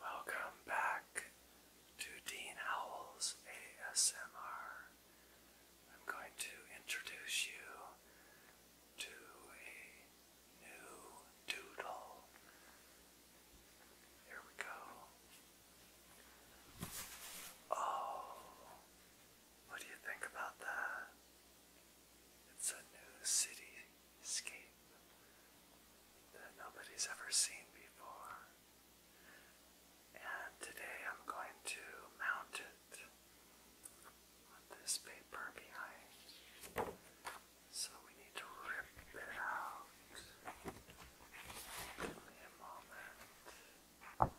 Welcome back to Dean Howell's ASMR. I'm going to introduce you to a new doodle. Here we go. Oh, what do you think about that? It's a new city that nobody's ever seen before. And today I'm going to mount it on this paper behind. So we need to rip it out. Give me a moment.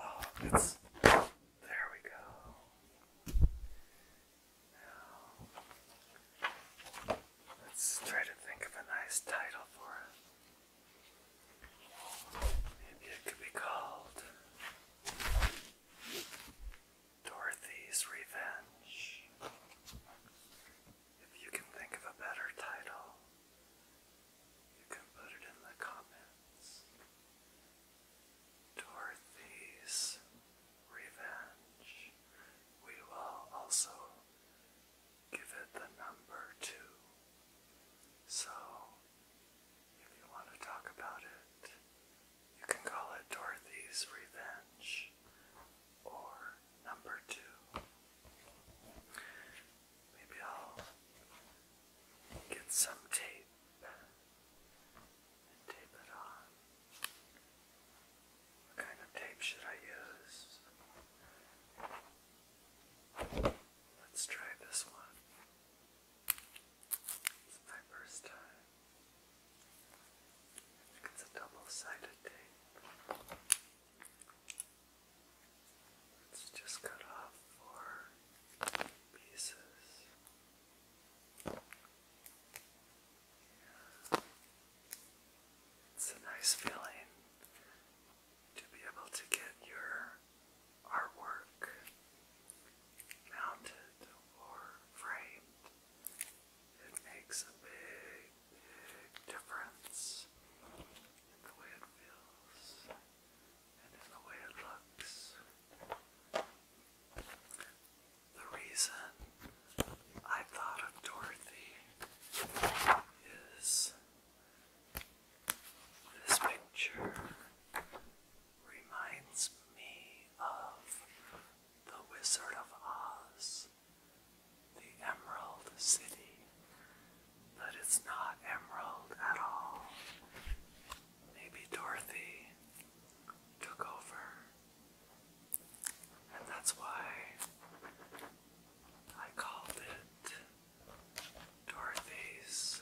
Oh, it's there we go let's try to think of a nice title for it. Maybe it could be called Dorothy's Revenge. If you can think of a better title, you can put it in the comments. Dorothy's Revenge. We will also give it the number two. So, if you want to talk about it, you can call it Dorothy's Revenge or number two. Maybe I'll get some tape what kind of tape should I use? Let's try this one. It's my first time. it's a double-sided tape. Let's just cut off four it's a nice feeling to be able to get your artwork mounted or framed. It makes a big, big difference in the way it feels and in the way it looks. The reason I thought of Dorothy is this picture reminds me of The Wizard of Oz, the Emerald City, but it's not emerald at all. Maybe Dorothy took over, and that's why I called it Dorothy's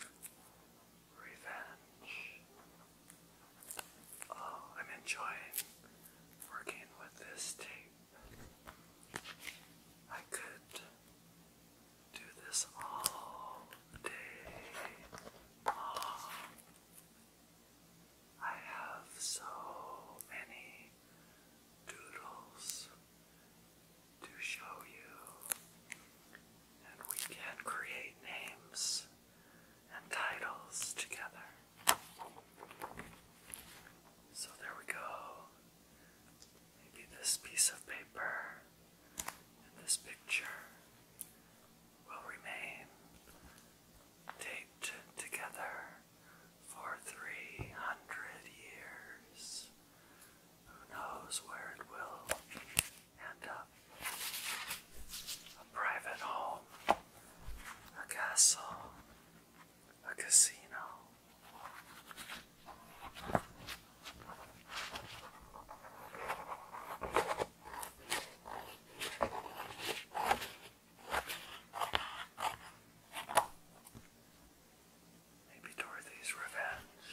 Revenge. Oh, I'm enjoying working with this tape. I could do this all day I have so many doodles to show you, and we can create names and titles together. So there we go. Maybe this piece of paper and this picture will remain taped together for 300 years. Who knows where it will end up? A private home, a castle, a casino. Maybe Dorothy's revenge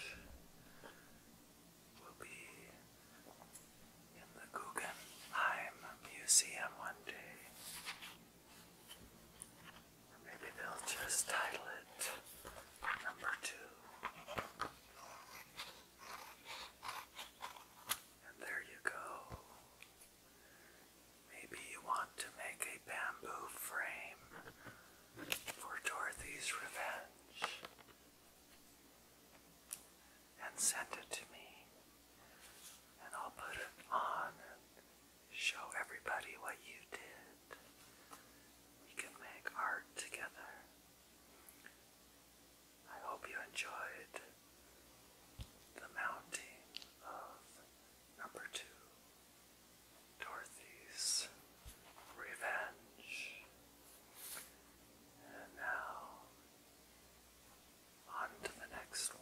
will be in the Guggenheim Museum one day maybe they'll just title it number two. And there you go. Maybe you want to make a bamboo frame for Dorothy's Revenge and send it to me and I'll put it on and show everybody what you did. We can make art together. I hope you enjoyed the mounting of number two, Dorothy's Revenge. And now on to the next one.